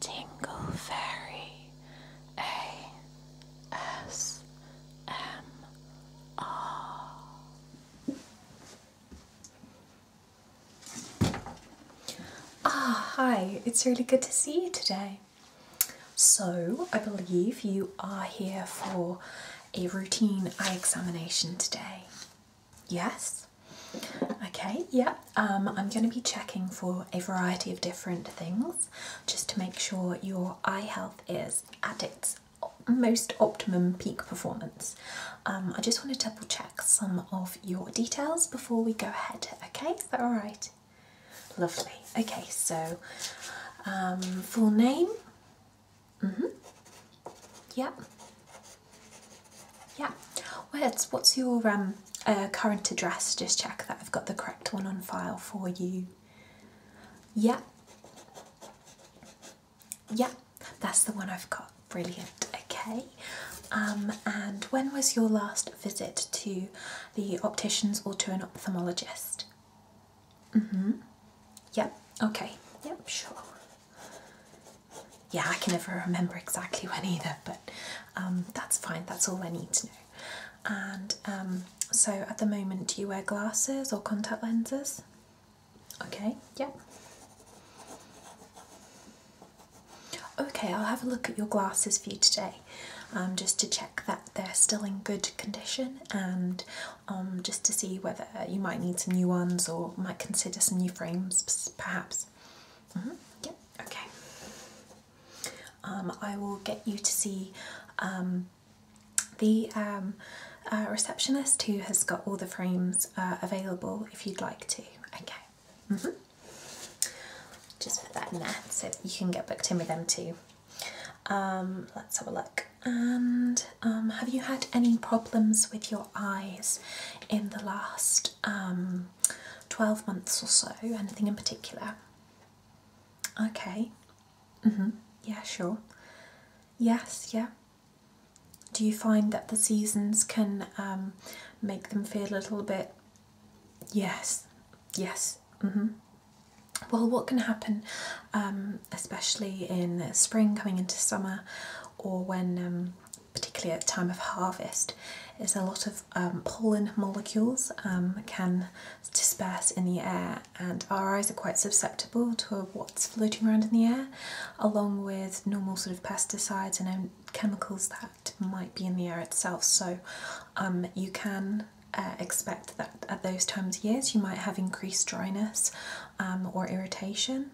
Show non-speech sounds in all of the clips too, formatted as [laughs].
Tingle Fairy ASMR. Ah, hi, it's really good to see you today. So, I believe you are here for a routine eye examination today. Yes? Okay, yeah, um, I'm going to be checking for a variety of different things just to make sure your eye health is at its most optimum peak performance. Um, I just want to double check some of your details before we go ahead. Okay, is that alright? Lovely. Okay, so um, full name? Mm hmm. Yep. Yeah. Well, what's your um, uh, current address? Just check that I've got the correct one on file for you. Yeah. Yeah, that's the one I've got. Brilliant. Okay. Um, and when was your last visit to the opticians or to an ophthalmologist? Mm hmm. Yep. Okay. Yep. Sure yeah, I can never remember exactly when either, but um, that's fine, that's all I need to know. And um, so at the moment, do you wear glasses or contact lenses? Okay, Yep. Okay, I'll have a look at your glasses for you today um, just to check that they're still in good condition and just to see whether you might need some new ones or might consider some new frames perhaps. Mm Okay. Um, I will get you to see um, the um, uh, receptionist who has got all the frames uh, available if you'd like to. Okay. Mm-hmm. Just put that in there so you can get booked in with them too. let's have a look. And have you had any problems with your eyes in the last um, 12 months or so? Anything in particular? Okay. Mm hmm Yeah, sure. Yes, yeah. Do you find that the seasons can um, make them feel a little bit... Yes, yes. Mm hmm Well, what can happen, um, especially in spring coming into summer or when um, particularly at time of harvest, is a lot of um, pollen molecules um, can disperse in the air, and our eyes are quite susceptible to what's floating around in the air, along with normal sort of pesticides and um, chemicals that might be in the air itself. So you can uh, expect that at those times years you might have increased dryness or irritation.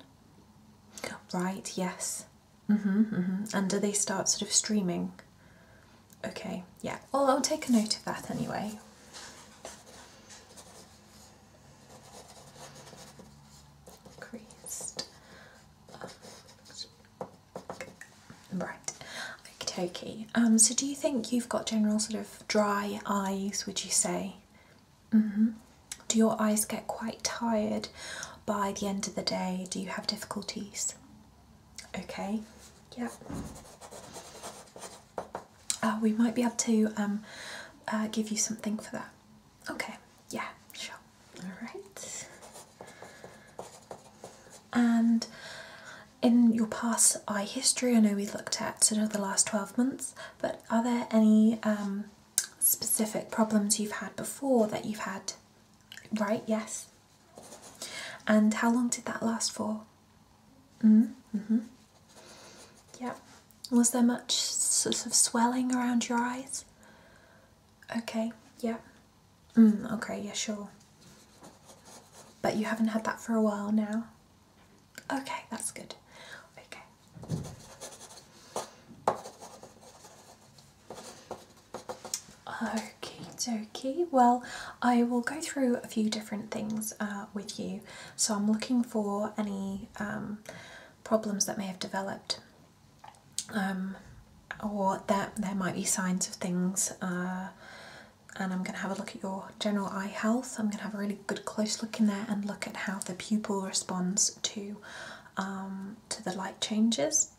Right, yes. Mm-hmm, mm-hmm. And do they start sort of streaming? Okay, yeah. Well, I'll take a note of that anyway. Creased. Right. Okay. Um. So, do you think you've got general sort of dry eyes? Would you say? Mm-hmm. Do your eyes get quite tired? by the end of the day? Do you have difficulties? Okay, yeah. Uh, we might be able to um, uh, give you something for that. Okay, yeah, sure. All right. And in your past eye history, I know we have looked at sort of the last 12 months, but are there any um, specific problems you've had before that you've had Right, yes. And how long did that last for? Mm hmm. Mm-hmm. Yeah. Was there much sort of swelling around your eyes? Okay, yeah. Mm, okay, yeah, sure. But you haven't had that for a while now? Okay, that's good. Okay. Okay, okay. Well, I will go through a few different things uh, with you. So I'm looking for any um, problems that may have developed, um, or that there might be signs of things. Uh, and I'm going to have a look at your general eye health. I'm going to have a really good close look in there and look at how the pupil responds to um, to the light changes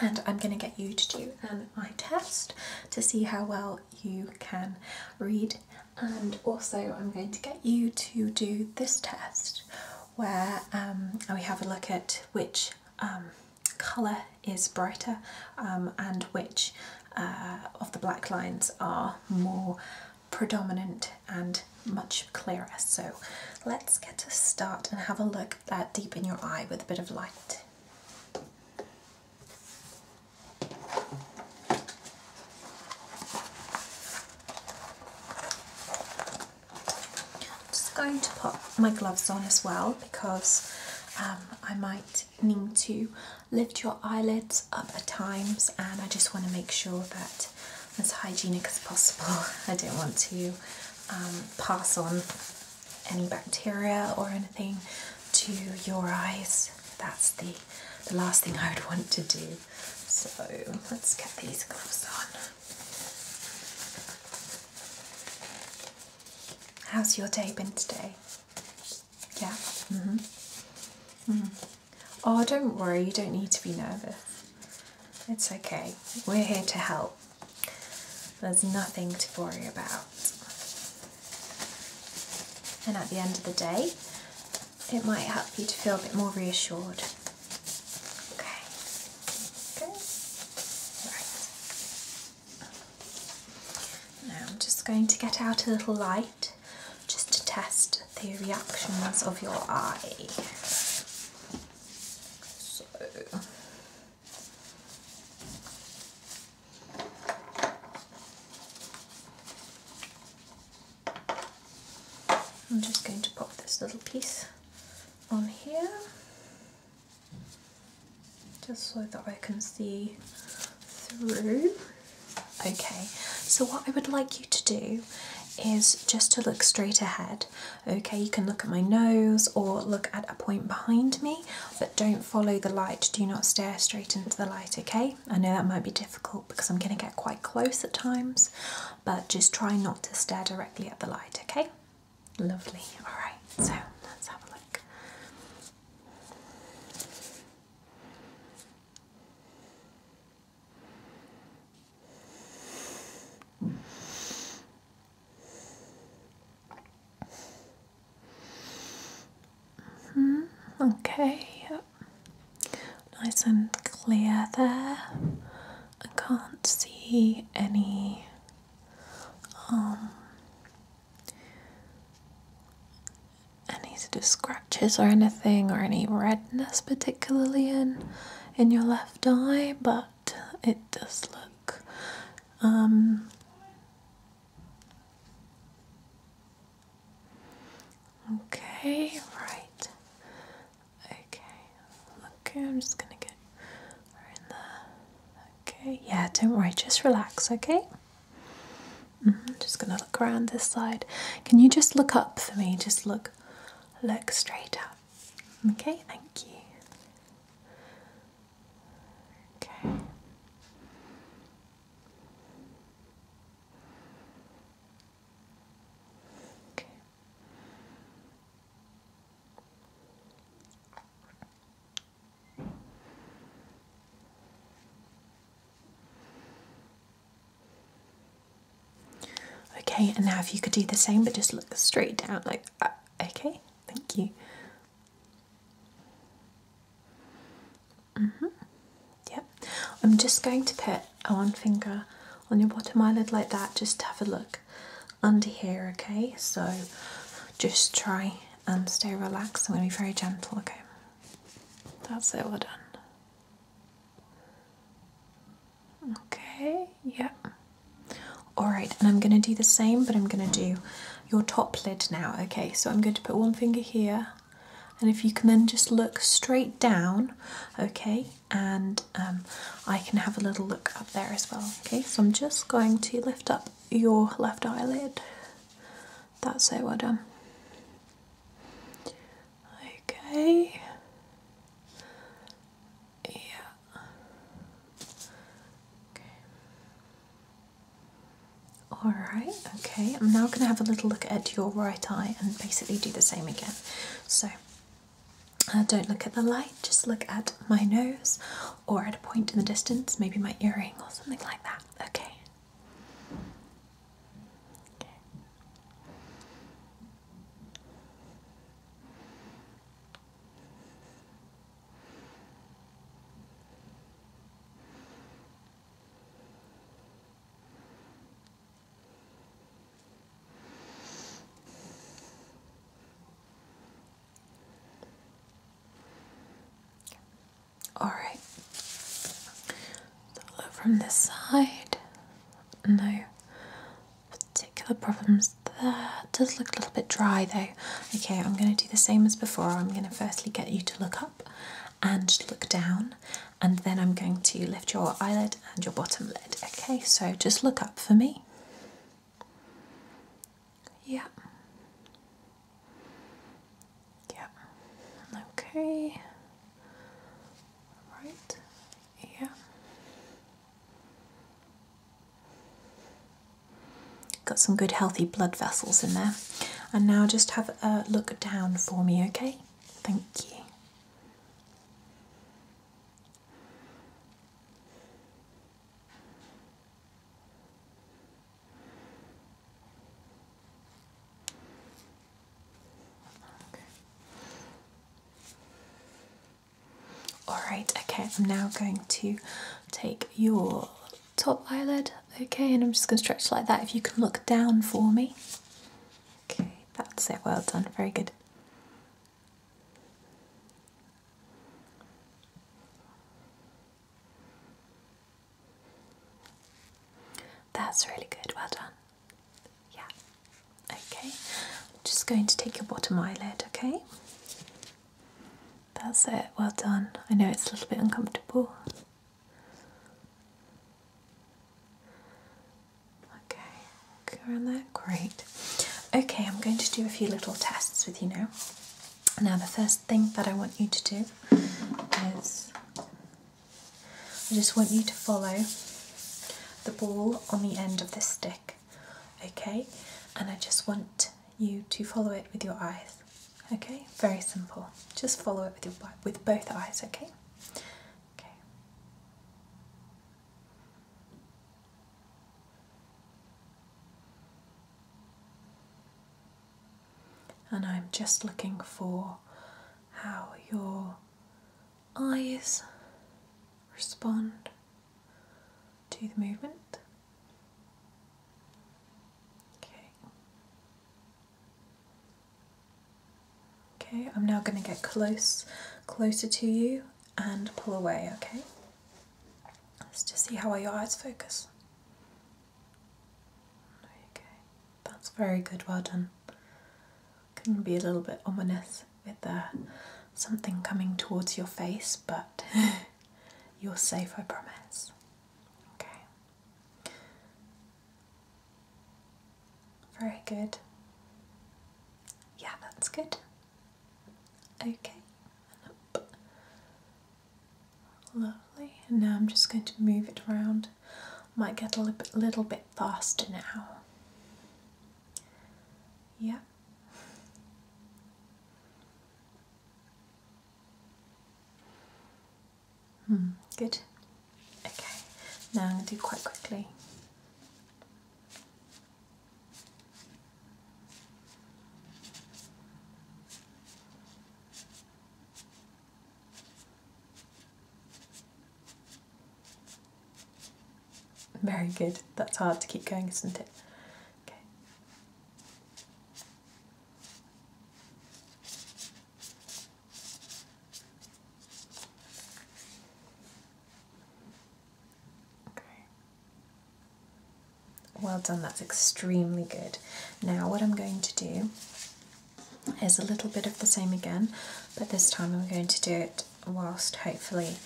and I'm going to get you to do an um, eye test to see how well you can read and also I'm going to get you to do this test where um, we have a look at which um, colour is brighter and which uh, of the black lines are more predominant and much clearer. So let's get to start and have a look at that deep in your eye with a bit of light. I'm just going to put my gloves on as well because um, I might need to lift your eyelids up at times and I just want to make sure that as hygienic as possible. [laughs] I don't want to um, pass on any bacteria or anything to your eyes. That's the, the last thing I would want to do. So let's get these gloves on. How's your day been today? Yeah? Mm-hmm. Mm-hmm. Oh, don't worry, you don't need to be nervous. It's okay. We're here to help. There's nothing to worry about. And at the end of the day, it might help you to feel a bit more reassured. Okay. Right. Now I'm just going to get out a little light just to test the reactions of your eye. So I'm just going to pop this little piece on here just so that I can see through. Okay, so what I would like you to do is just to look straight ahead. Okay, you can look at my nose or look at a point behind me, but don't follow the light. Do not stare straight into the light, okay? I know that might be difficult because I'm going to get quite close at times, but just try not to stare directly at the light, okay? Lovely. All right, so let's have a look. -hmm. Okay, Nice and clear there. I can't see any um any scratches or anything or any redness particularly in in your left eye, but it does look um, okay, right. Okay, okay, I'm just gonna get in there. Okay, yeah, don't worry, just relax, okay. Mm -hmm. Just gonna look around this side. Can you just look up for me? Just look, look straight up. Okay, thank you. Okay. Okay. Okay, and now if you could do the same but just look straight down like uh, Okay, thank you. Mm-hmm. Yep, I'm just going to put one finger on your bottom eyelid like that just to have a look under here, okay? So just try and stay relaxed. I'm going to be very gentle, okay? That's it, we're done. Okay, yeah. All right, and I'm going to do the same, but I'm going to do your top lid now. Okay, so I'm going to put one finger here, and if you can then just look straight down, okay, and um, I can have a little look up there as well. Okay, so I'm just going to lift up your left eyelid. That's it, well done. Okay. Yeah. Okay. All right. Okay. I'm now going to have a little look at your right eye and basically do the same again. So, uh, don't look at the light. Just look at my nose, or at a point in the distance, maybe my earring or something like that. Okay. Okay. All right. So look from this side. No particular problems That does look a little bit dry though. Okay, I'm going to do the same as before. I'm going to firstly get you to look up and look down, and then I'm going to lift your eyelid and your bottom lid. Okay, so just look up for me. Yeah. Yeah. Okay. Right. Yeah. Got some good healthy blood vessels in there. And now just have a look down for me, okay? Thank you. Alright, okay, I'm now going to take your top eyelid, okay, and I'm just going to stretch like that. If you can look down for me. Okay, that's it, well done, very good. That's really good, well done. Yeah. Okay, I'm just going to take your bottom eyelid, okay? That's it, well done. I know it's a little bit uncomfortable. Okay, around there, great. Okay, I'm going to do a few little tests with you now. Now, the first thing that I want you to do is I just want you to follow the ball on the end of the stick, okay? And I just want you to follow it with your eyes, okay? Very simple. Just follow it with your with both eyes, okay? Okay. And I'm just looking for how your eyes respond to the movement. Okay. Okay, I'm now going to get close, closer to you and pull away, okay? Let's just see how are your eyes focus. Okay, that's very good, well can be a little bit ominous with uh, something coming towards your face, but [laughs] you're safe, I promise. Okay. Very good. Yeah, that's good. Okay, Lovely. And now I'm just going to move it around. Might get a little bit faster now. Yeah. Hmm, good. Okay, now I'm going to do quite quickly. Very good. That's hard to keep going, isn't it? Okay. Okay. Well done, that's extremely good. Now, what I'm going to do is a little bit of the same again, but this time I'm going to do it whilst hopefully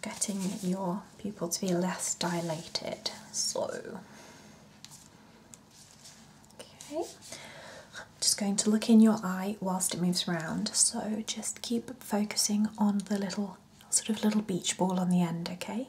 getting your pupil to be less dilated. So, okay, just going to look in your eye whilst it moves round. So just keep focusing on the little sort of little beach ball on the end, okay?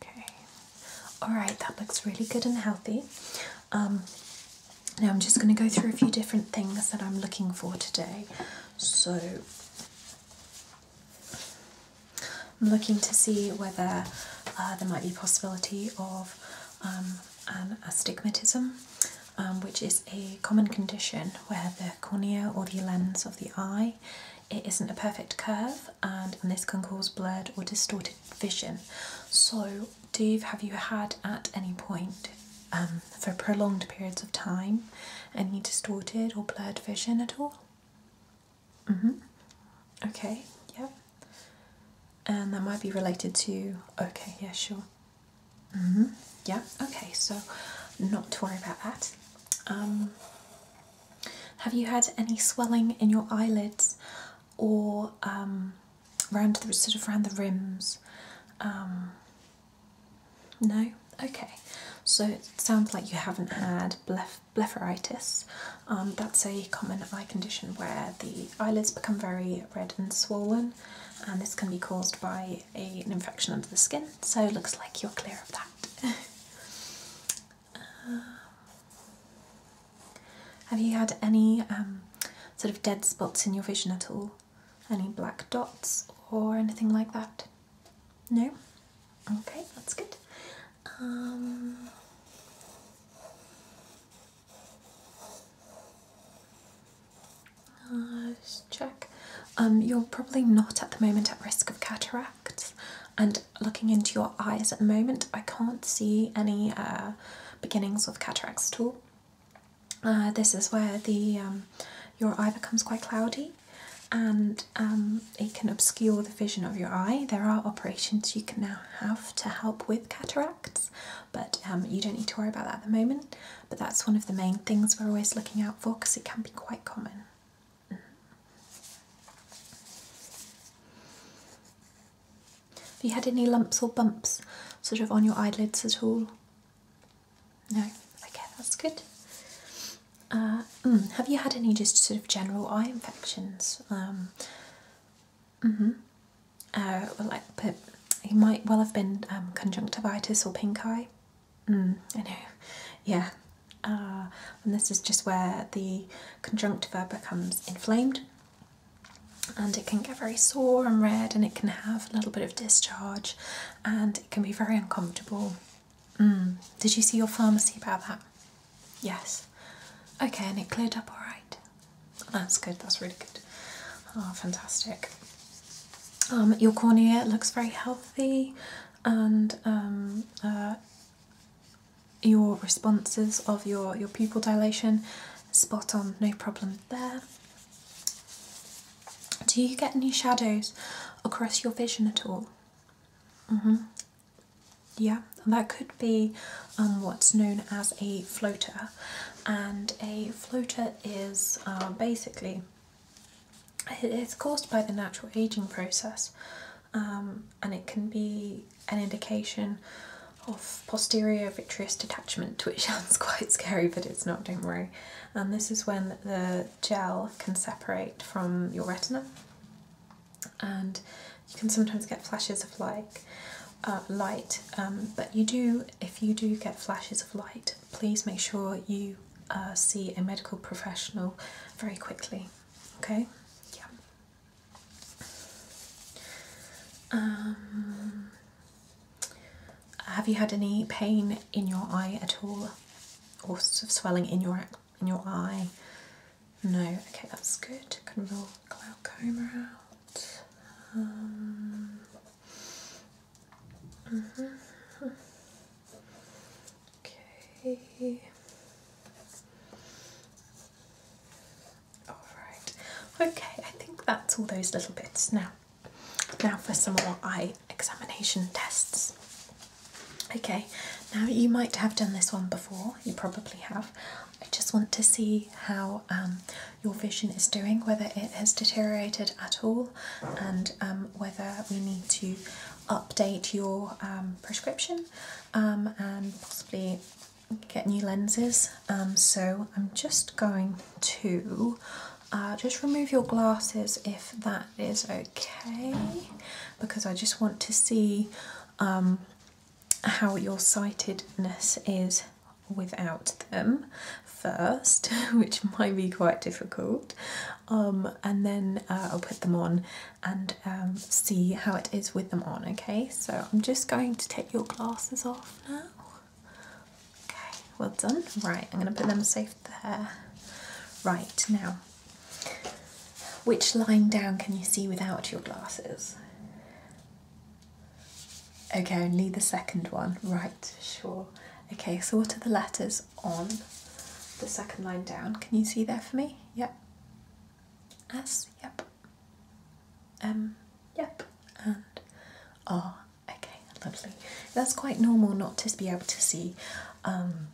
Okay. All right, that looks really good and healthy. Um, now I'm just going to go through a few different things that I'm looking for today. So I'm looking to see whether uh, there might be possibility of um, astigmatism, um, which is a common condition where the cornea or the lens of the eye it isn't a perfect curve and, this can cause blurred or distorted vision. So do you, have you had at any point um, for prolonged periods of time any distorted or blurred vision at all? Mm-hmm. Okay, yeah. And that might be related to okay, yeah, sure. Mm-hmm. Yeah, okay, so not to worry about that. Um have you had any swelling in your eyelids or around um, the sort of around the rims? Um, no. Okay. So it sounds like you haven't had blepharitis. Um, that's a common eye condition where the eyelids become very red and swollen, and this can be caused by an infection under the skin. So it looks like you're clear of that. [laughs] Um, have you had any um, sort of dead spots in your vision at all? Any black dots or anything like that? No? Okay, that's good. Um, check. Um, you're probably not at the moment at risk of cataract and looking into your eyes at the moment I can't see any uh, beginnings of cataracts at all. Uh, this is where the um, your eye becomes quite cloudy and um, it can obscure the vision of your eye. There are operations you can now have to help with cataracts but um, you don't need to worry about that at the moment but that's one of the main things we're always looking out for because it can be quite common. Have you had any lumps or bumps sort of on your eyelids at all? No? Okay, that's good. Uh, mm, have you had any just sort of general eye infections? Um, mm-hmm. Uh, well, like, but might well have been um, conjunctivitis or pink eye. Mm, I know. Yeah, uh, and this is just where the conjunctiva becomes inflamed and it can get very sore and red and it can have a little bit of discharge and it can be very uncomfortable. Mm. Did you see your pharmacy about that? Yes. Okay, and it cleared up all right. That's good, that's really good. Oh, fantastic. Um, your cornea looks very healthy and um, uh, your responses of your, your pupil dilation. Spot on, no problem there. Do you get any shadows across your vision at all? Mm -hmm. Yeah, that could be um, what's known as a floater, and a floater is uh, basically it's caused by the natural aging process. Um, and it can be an indication of posterior vitreous detachment, [laughs] which sounds quite scary, but it's not, don't worry. And this is when the gel can separate from your retina, and you can sometimes get flashes of like uh, light. Um, but you do, if you do get flashes of light, please make sure you uh, see a medical professional very quickly. Okay, yeah. Um, have you had any pain in your eye at all, or swelling in your in your eye? No. Okay, that's good. Can rule glaucoma out. Um, mm -hmm. Okay. Alright. Okay, I think that's all those little bits. Now now for some more eye examination tests. Okay, now you might have done this one before, you probably have. I just want to see how um, your vision is doing, whether it has deteriorated at all, and um, whether we need to update your um, prescription um, and possibly get new lenses. Um, so I'm just going to uh, just remove your glasses if that is okay, because I just want to see um, how your sightedness is without them first, [laughs] which might be quite difficult um, and then uh, I'll put them on and um, see how it is with them on. Okay, so I'm just going to take your glasses off now. Okay, well done. Right, I'm going to put them safe there. Right now, which line down can you see without your glasses? Okay, only the second one. Right, sure. Okay, so what are the letters on the second line down? Can you see there for me? Yep. S, yep. M, um, yep. And R, oh, okay, lovely. That's quite normal not to be able to see um,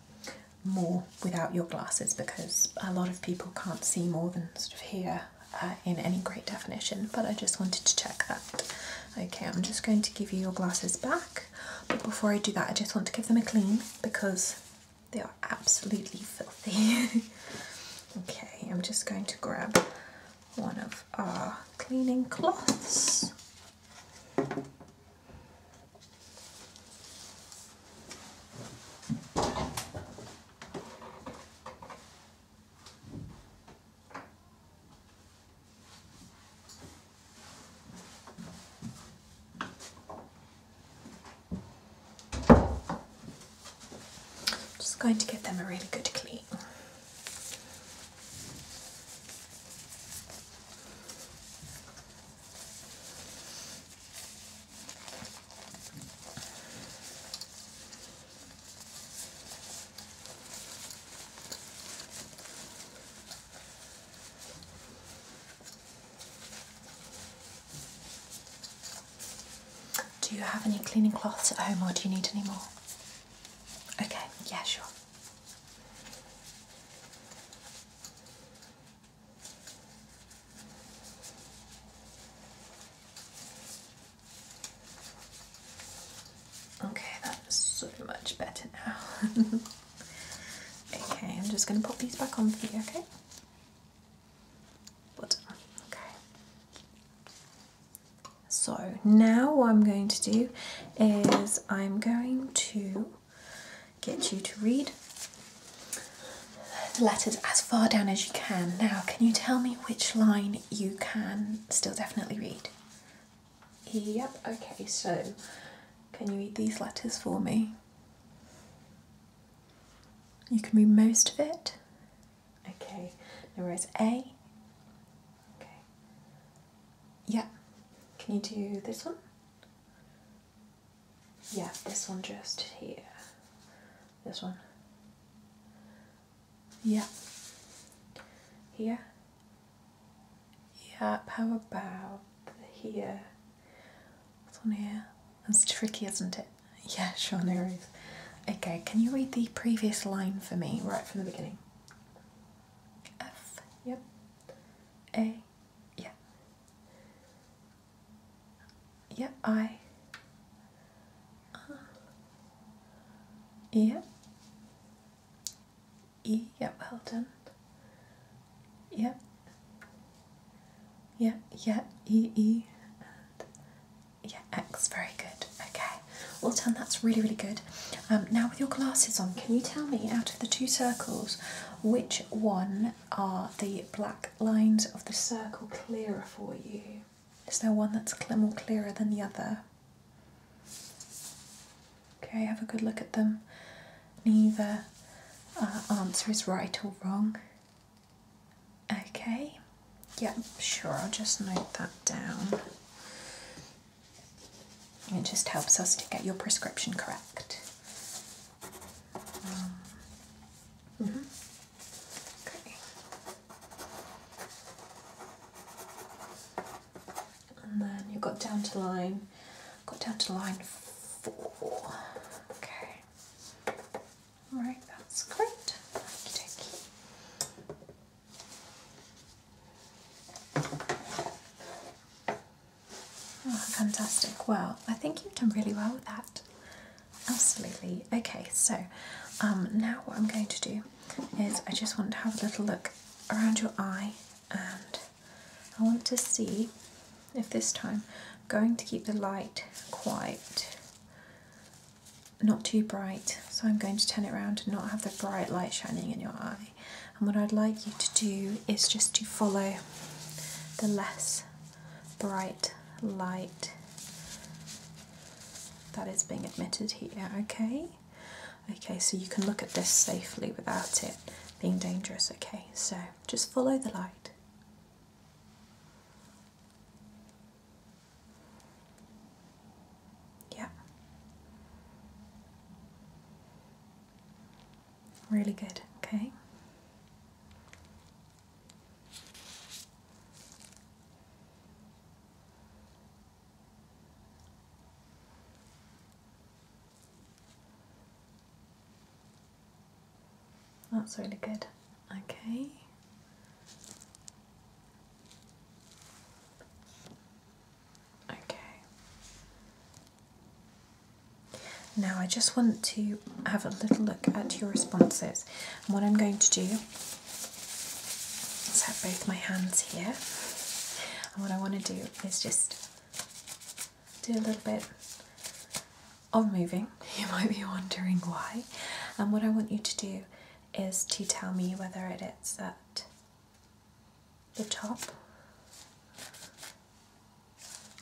more without your glasses because a lot of people can't see more than sort of here uh, in any great definition, but I just wanted to check that. Okay, I'm just going to give you your glasses back, but before I do that, I just want to give them a clean because they are absolutely filthy. [laughs] okay, I'm just going to grab one of our cleaning cloths. Just going to give them a really good clean. Do you have any cleaning cloths at home or do you need any more? Okay, yeah, sure. Okay, that's so much better now. [laughs] Okay, I'm just going to put these back on for you, okay? But, okay. So now what I'm going to do is I'm going to get you to read the letters as far down as you can. Now, can you tell me which line you can still definitely read? Yep, okay, so can you read these letters for me? You can read most of it. Okay, now where's A? Okay. Yeah. Can you do this one? Yeah, this one just here. This one. Yeah. Here. Yeah. how about here? It's on here. It's tricky, isn't it? Yeah, sure, no Okay, can you read the previous line for me, right from the beginning? F, yep. A, yeah. Yeah, I. Uh, yeah. E. Yep, well done. Yep. Yep, yeah, E, E, and yeah, X, very good. Okay, well done, that's really, really good. Um, now, with your glasses on, can you tell me out of the two circles which one are the black lines of the circle clearer for you? Is there one that's more clearer than the other? Okay, have a good look at them neither uh, answer is right or wrong. Okay, yeah, sure, I'll just note that down. It just helps us to get your prescription correct. Um, mm Okay. And then you got down to line got down to line four. Okay. Right, that's correct. Ah, fantastic. Well, I think you've done really well with that. Absolutely. Okay, so um, now what I'm going to do is I just want to have a little look around your eye and I want to see if this time I'm going to keep the light quite not too bright so I'm going to turn it around and not have the bright light shining in your eye and what I'd like you to do is just to follow the less bright light that is being admitted here okay okay so you can look at this safely without it being dangerous okay so just follow the light. Yeah. Really good, okay. That's really good. Okay. Okay. Now I just want to have a little look at your responses. And what I'm going to do is have both my hands here. And what I want to do is just do a little bit of moving. [laughs] You might be wondering why. And what I want you to do is to tell me whether it is at the top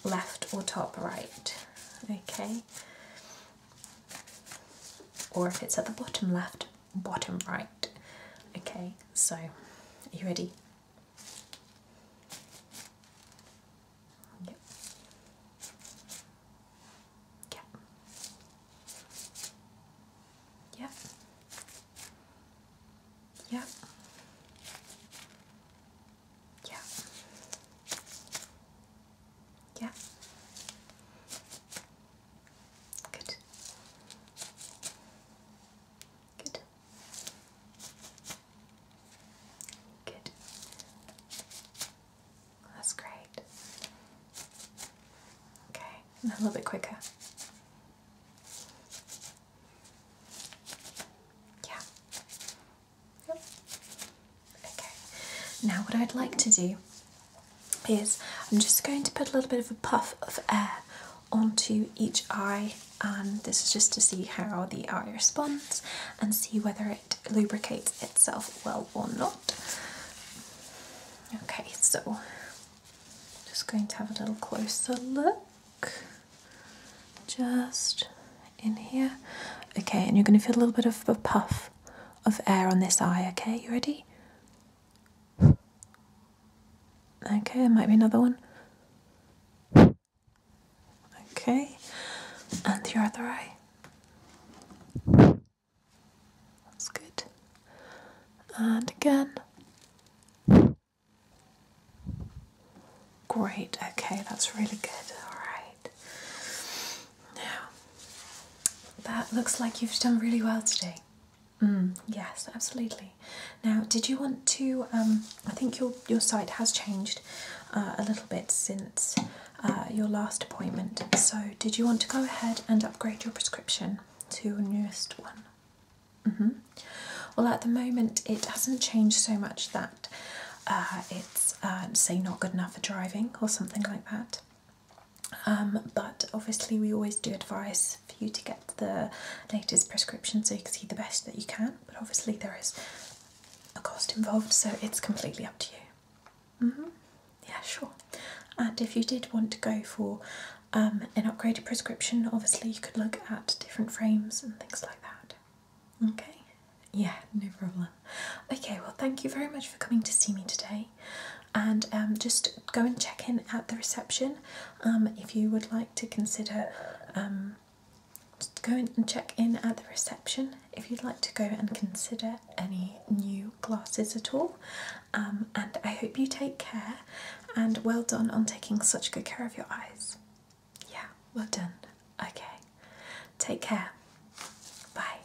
left or top right. Okay. Or if it's at the bottom left, bottom right. Okay, so are you ready? Yep. Yep. Yep. Yep. Yep. Yep. Good. Good. Good. That's great. Okay, a little bit quicker. Yeah. Yep. Okay. Now, what I'd like to do is I'm just going to put a little bit of a puff of air onto each eye and this is just to see how the eye responds and see whether it lubricates itself well or not. Okay, so just going to have a little closer look just in here. Okay, and you're going to feel a little bit of a puff of air on this eye, okay? You ready? Okay, there might be another one. Okay, and the other eye. That's good. And again. Great, okay, that's really good. Alright. Now, that looks like you've done really well today. Mm, yes, absolutely. Now, did you want to? Um, I think your your site has changed uh, a little bit since uh, your last appointment. So, did you want to go ahead and upgrade your prescription to your newest one? Mm-hmm. Well, at the moment, it hasn't changed so much that uh, it's say not good enough for driving or something like that. Um, but obviously, we always do advise for you to get the latest prescription so you can see the best that you can but obviously there is a cost involved, so it's completely up to you. Mm-hmm. Yeah, sure. And if you did want to go for um, an upgraded prescription, obviously you could look at different frames and things like that. Okay. Yeah, no problem. Okay, well, thank you very much for coming to see me today. And um, just go and check in at the reception um, if you would like to consider go and check in at the reception if you'd like to go and consider any new glasses at all. Um, and I hope you take care and well done on taking such good care of your eyes. Yeah, well done. Okay, take care. Bye.